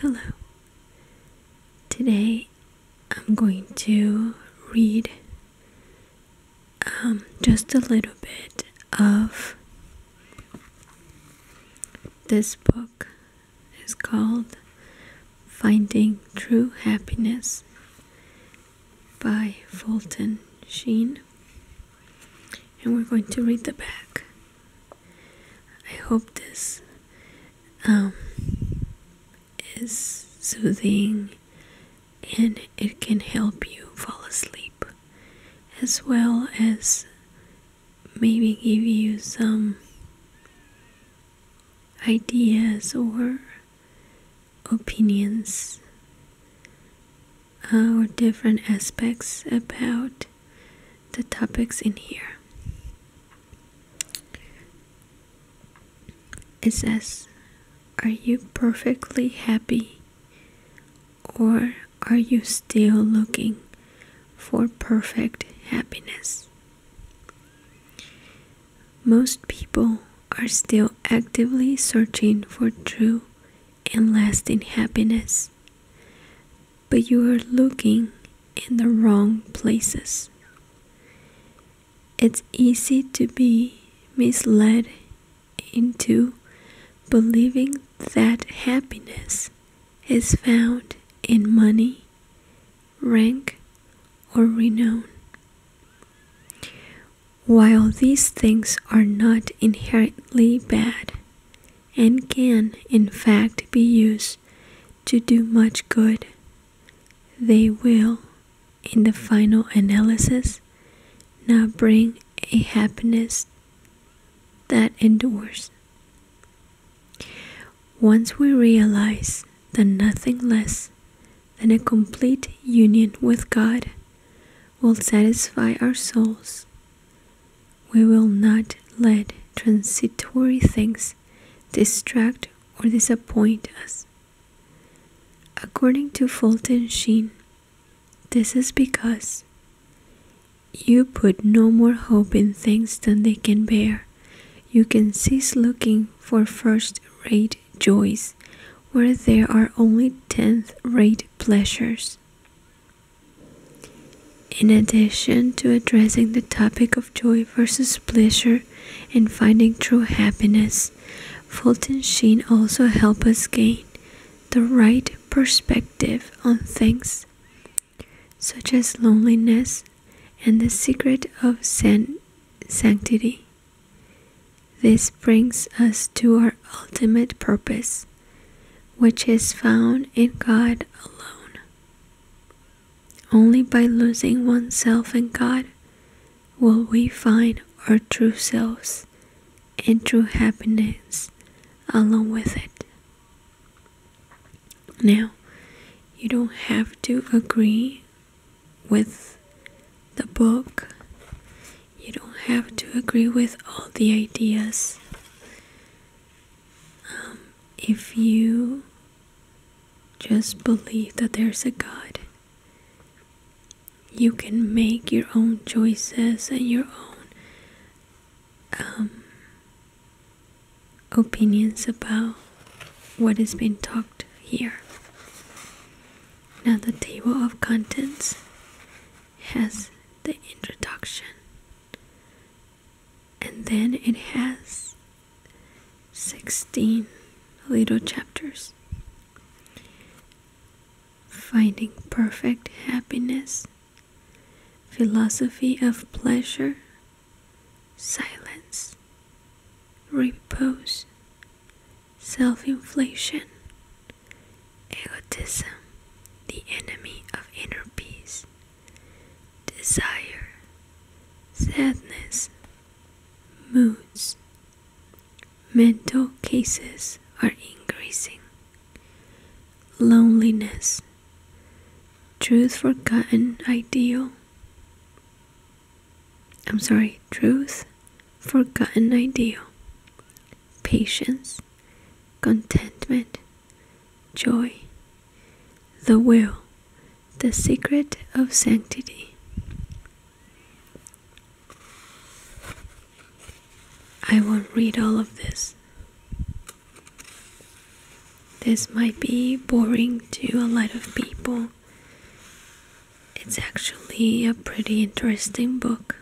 Hello. Today I'm going to read um, just a little bit of this book. It's called Finding True Happiness by Fulton Sheen and we're going to read the back. I hope this um, is soothing and it can help you fall asleep as well as maybe give you some ideas or opinions uh, or different aspects about the topics in here. It says, Are you perfectly happy? Or are you still looking for perfect happiness? Most people are still actively searching for true and lasting happiness. But you are looking in the wrong places. It's easy to be misled into believing that happiness is found in money, rank, or renown. While these things are not inherently bad, and can in fact be used to do much good, they will, in the final analysis, not bring a happiness that endures. Once we realize that nothing less than a complete union with God will satisfy our souls. We will not let transitory things distract or disappoint us. According to Fulton Sheen, this is because you put no more hope in things than they can bear. You can cease looking for first rate joys where there are only tenth rate pleasures. In addition to addressing the topic of joy versus pleasure and finding true happiness, Fulton Sheen also helped us gain the right perspective on things such as loneliness and the secret of sanctity. This brings us to our ultimate purpose, which is found in God alone. Only by losing oneself in God will we find our true selves and true happiness along with it. Now, you don't have to agree with the book. You don't have to agree with all the ideas. Um, if you just believe that there's a God, you can make your own choices and your own um, opinions about what has been talked here. Now the table of contents has the introduction and then it has 16 little chapters. Finding perfect happiness, philosophy of pleasure, silence, repose, self inflation, egotism, the enemy of inner peace, desire, sadness, moods. Mental cases are increasing. Loneliness, truth forgotten ideal, I'm sorry, truth, forgotten ideal, patience, contentment, joy, the will, the secret of sanctity. I won't read all of this. This might be boring to a lot of people it's actually a pretty interesting book.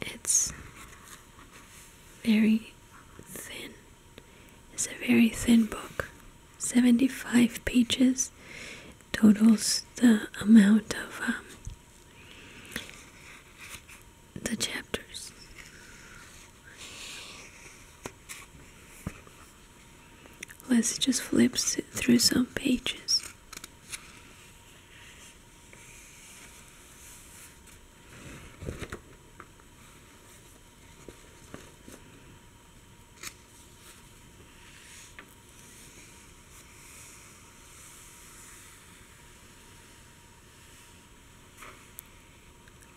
It's very thin. It's a very thin book. 75 pages totals the amount of um, the chapters. Let's just flip through some pages.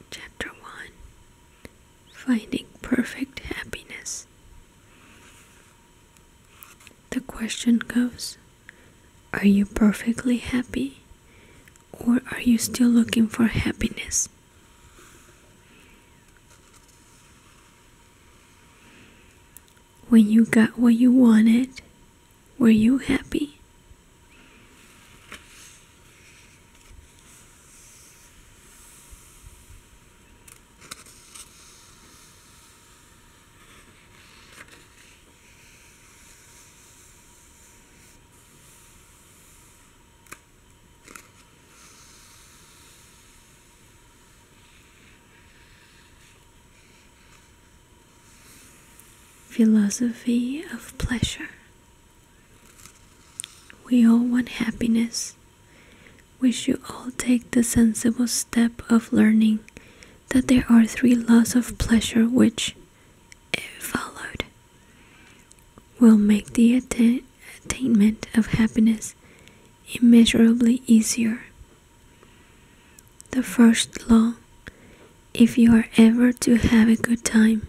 Chapter 1 finding perfect happiness. The question goes Are you perfectly happy or are you still looking for happiness? When you got what you wanted, were you happy? Philosophy of Pleasure we all want happiness. We should all take the sensible step of learning that there are three laws of pleasure which, if followed, will make the attainment of happiness immeasurably easier. The first law if you are ever to have a good time,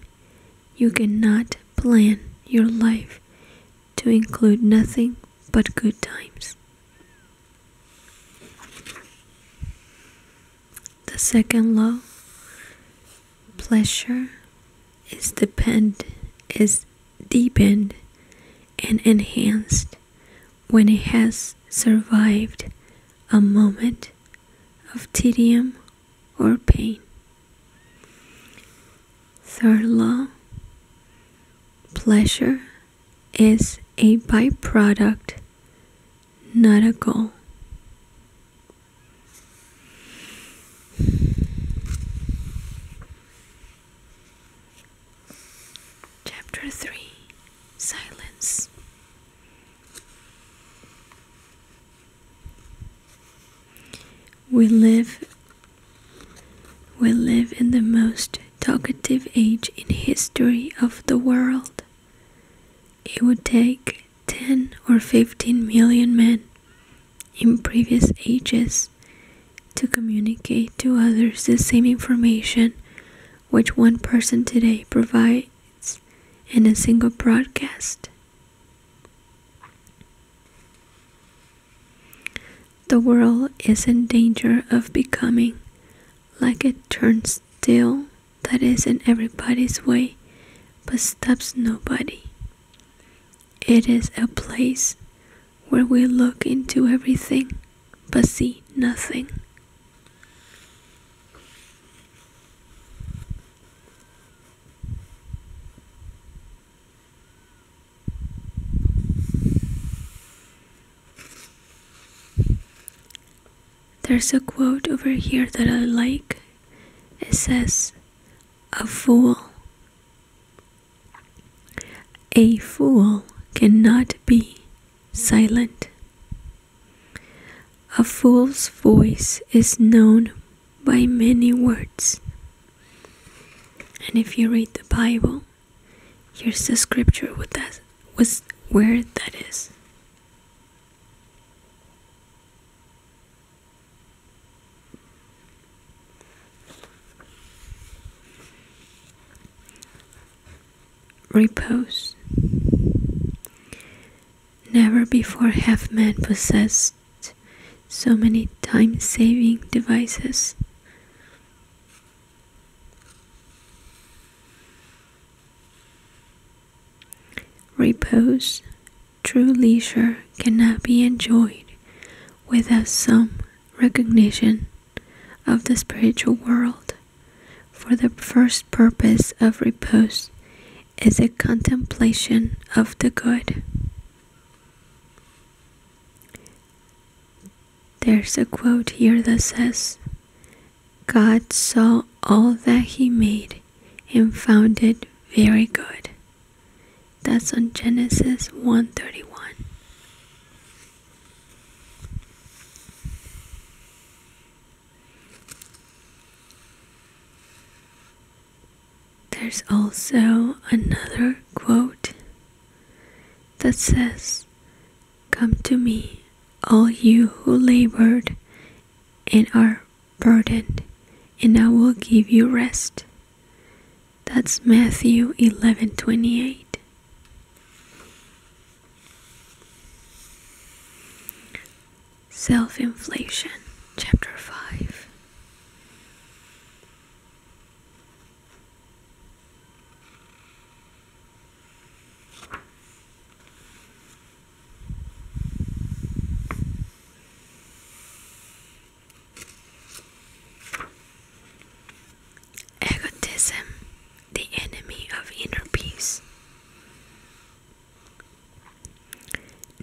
you cannot plan your life to include nothing but good times. The second law pleasure is deepened and enhanced when it has survived a moment of tedium or pain. Third law pleasure is a byproduct, not a goal. Chapter 3 Silence we live we live in the most talkative age in history of the world. It would take 10 or 15 million men in previous ages to communicate to others the same information which one person today provides in a single broadcast. The world is in danger of becoming like a turnstile that is in everybody's way but stops nobody. It is a place where we look into everything but see nothing. There's a quote over here that I like. It says, A fool. A fool cannot be silent. A fool's voice is known by many words. And if you read the Bible, here's the scripture with that was where that is repose. Never before have men possessed so many time saving devices. Repose, true leisure cannot be enjoyed without some recognition of the spiritual world for the first purpose of repose is a contemplation of the good. There's a quote here that says, God saw all that he made and found it very good. That's on Genesis 131. There's also another quote that says, Come to me, all you who labored and are burdened, and I will give you rest. That's Matthew 11:28. Self Inflation, Chapter 5. Egotism the enemy of inner peace.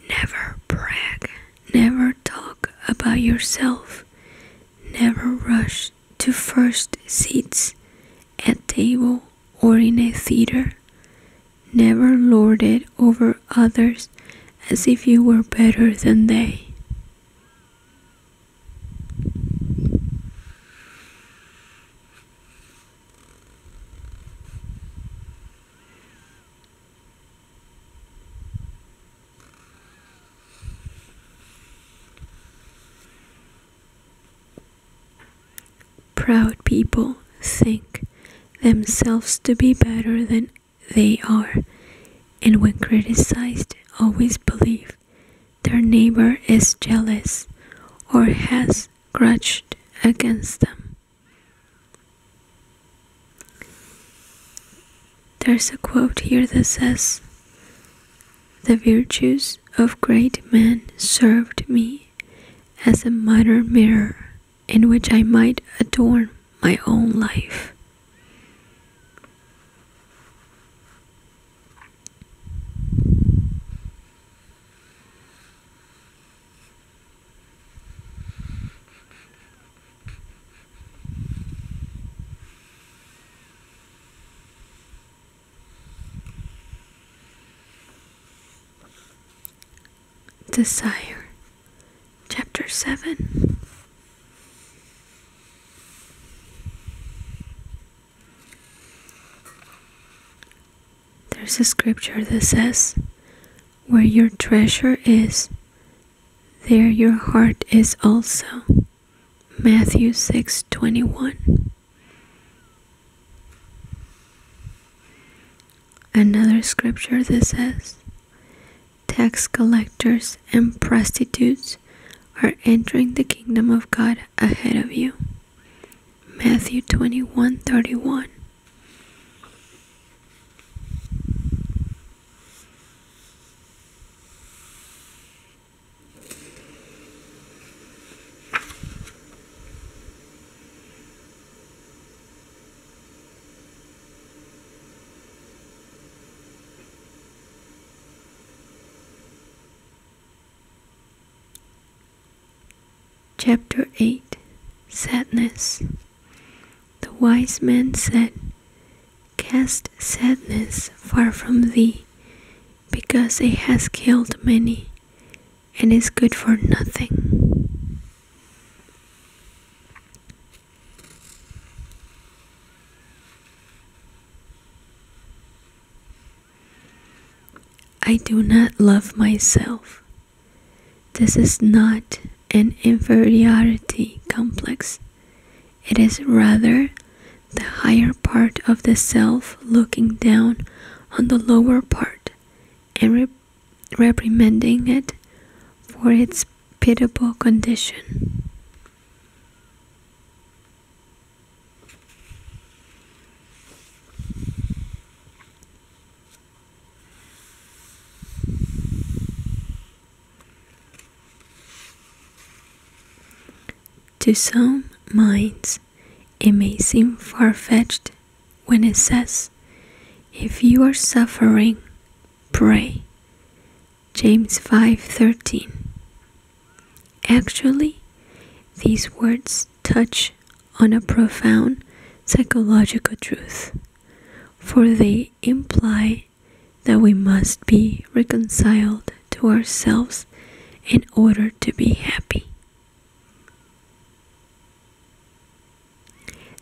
Never brag, never talk about yourself, never rush to first seats at table or in a theater. Never lord it over others as if you were better than they. Proud people think themselves to be better than they are, and when criticized, always believe their neighbor is jealous or has grudged against them. There's a quote here that says, The virtues of great men served me as a minor mirror in which I might adorn my own life. Desire, Chapter 7. There's a scripture that says, Where your treasure is, there your heart is also. Matthew 6 21. Another scripture that says, Tax collectors and prostitutes are entering the kingdom of God ahead of you. Matthew 21 31. Chapter 8 Sadness The wise man said, Cast sadness far from thee, because it has killed many, and is good for nothing. I do not love myself. This is not an inferiority complex. It is rather the higher part of the self looking down on the lower part and reprimanding it for its pitiable condition. To some minds, it may seem far fetched when it says, If you are suffering, pray. James 5:13 Actually these words touch on a profound psychological truth for they imply that we must be reconciled to ourselves in order to be happy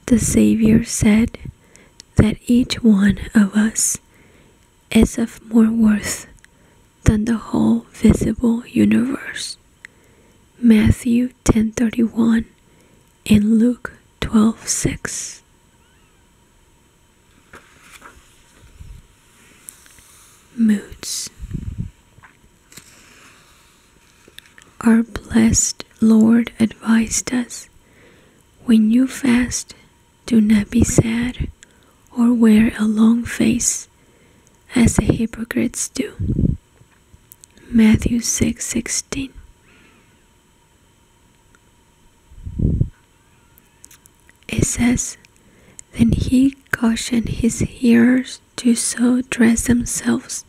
The Savior said that each one of us is of more worth than the whole visible universe. Matthew 10:31 and Luke 12:6. Moods Our blessed Lord advised us when you fast, do not be sad or wear a long face as the hypocrites do. Matthew six sixteen. It says, Then he cautioned his hearers to so dress themselves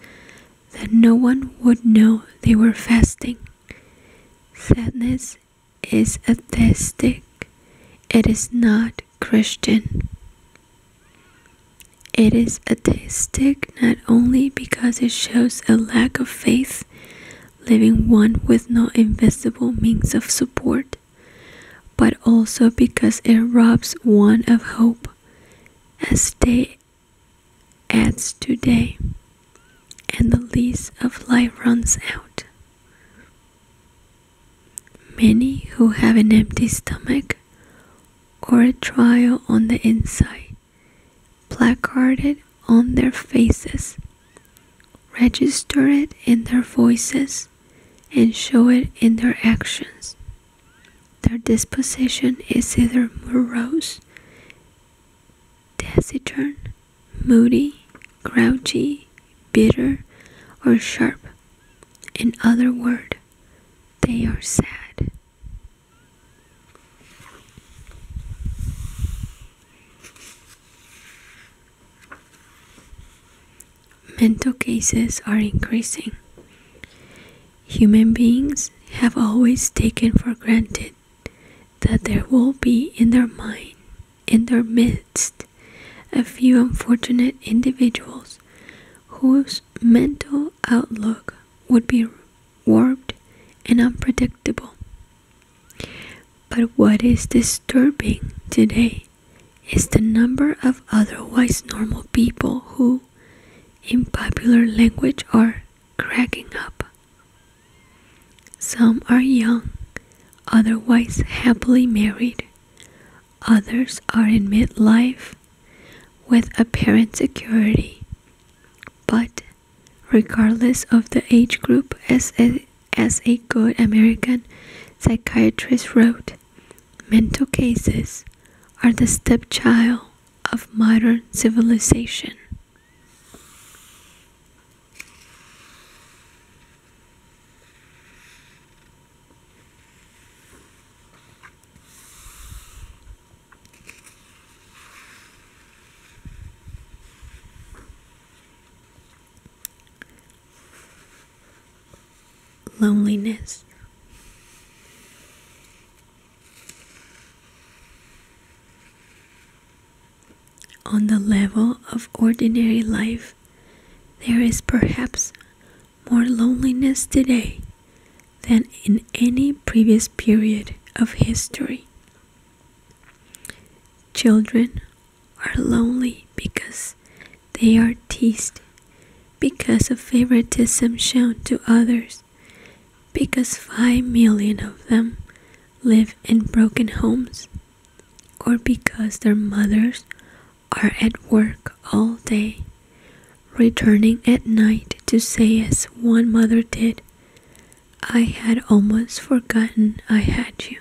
that no one would know they were fasting. Sadness it is atheistic, it is not Christian. It is atheistic not only because it shows a lack of faith, leaving one with no invisible means of support, but also because it robs one of hope, as day adds to day and the lease of life runs out. Many who have an empty stomach or a trial on the inside, placarded on their faces, register it in their voices, and show it in their actions. Their disposition is either morose, taciturn, moody, grouchy, bitter, or sharp. In other words, they are sad. Mental cases are increasing. Human beings have always taken for granted that there will be in their mind, in their midst, a few unfortunate individuals whose mental outlook would be warped and unpredictable. But what is disturbing today is the number of otherwise normal people who, in popular language, are cracking up. Some are young, otherwise happily married. Others are in midlife with apparent security. But regardless of the age group, as a, as a good American psychiatrist wrote, mental cases are the stepchild of modern civilization. Loneliness. On the level of ordinary life, there is perhaps more loneliness today than in any previous period of history. Children are lonely because they are teased because of favoritism shown to others because 5 million of them live in broken homes or because their mothers are at work all day, returning at night to say, as one mother did, I had almost forgotten I had you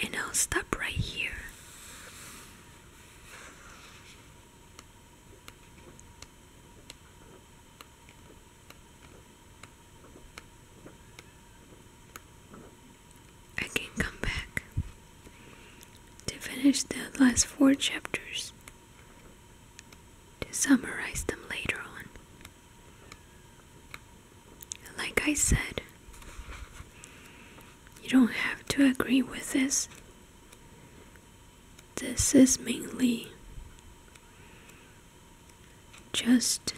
and I'll stop right here. I can come back to finish the last four chapters to summarize them later on. Like I said, you don't have to agree with this. This is mainly just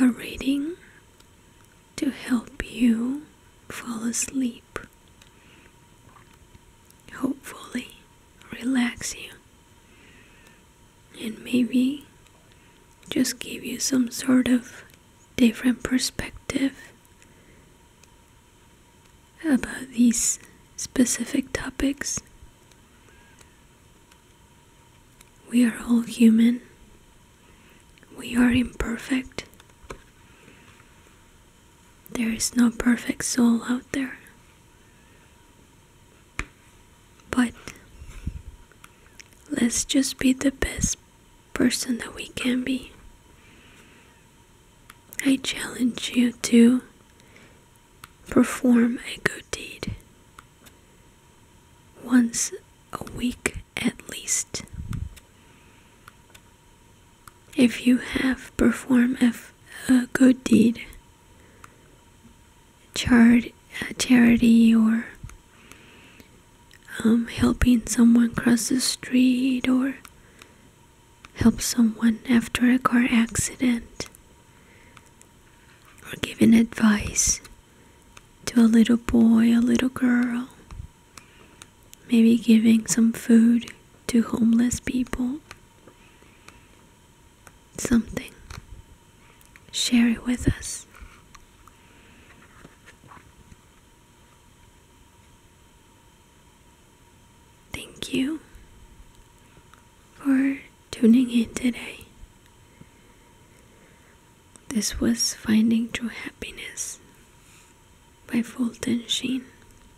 a reading to help you fall asleep. Hopefully, relax you and maybe just give you some sort of different perspective about these specific topics. We are all human. We are imperfect. There is no perfect soul out there. But let's just be the best person that we can be. I challenge you to perform a good deed once a week at least. If you have performed a, good deed, charity, or um, helping someone cross the street or help someone after a car accident or giving advice to a little boy, a little girl, maybe giving some food to homeless people something, share it with us. Thank you for tuning in today. This was Finding True Happiness by Fulton Sheen.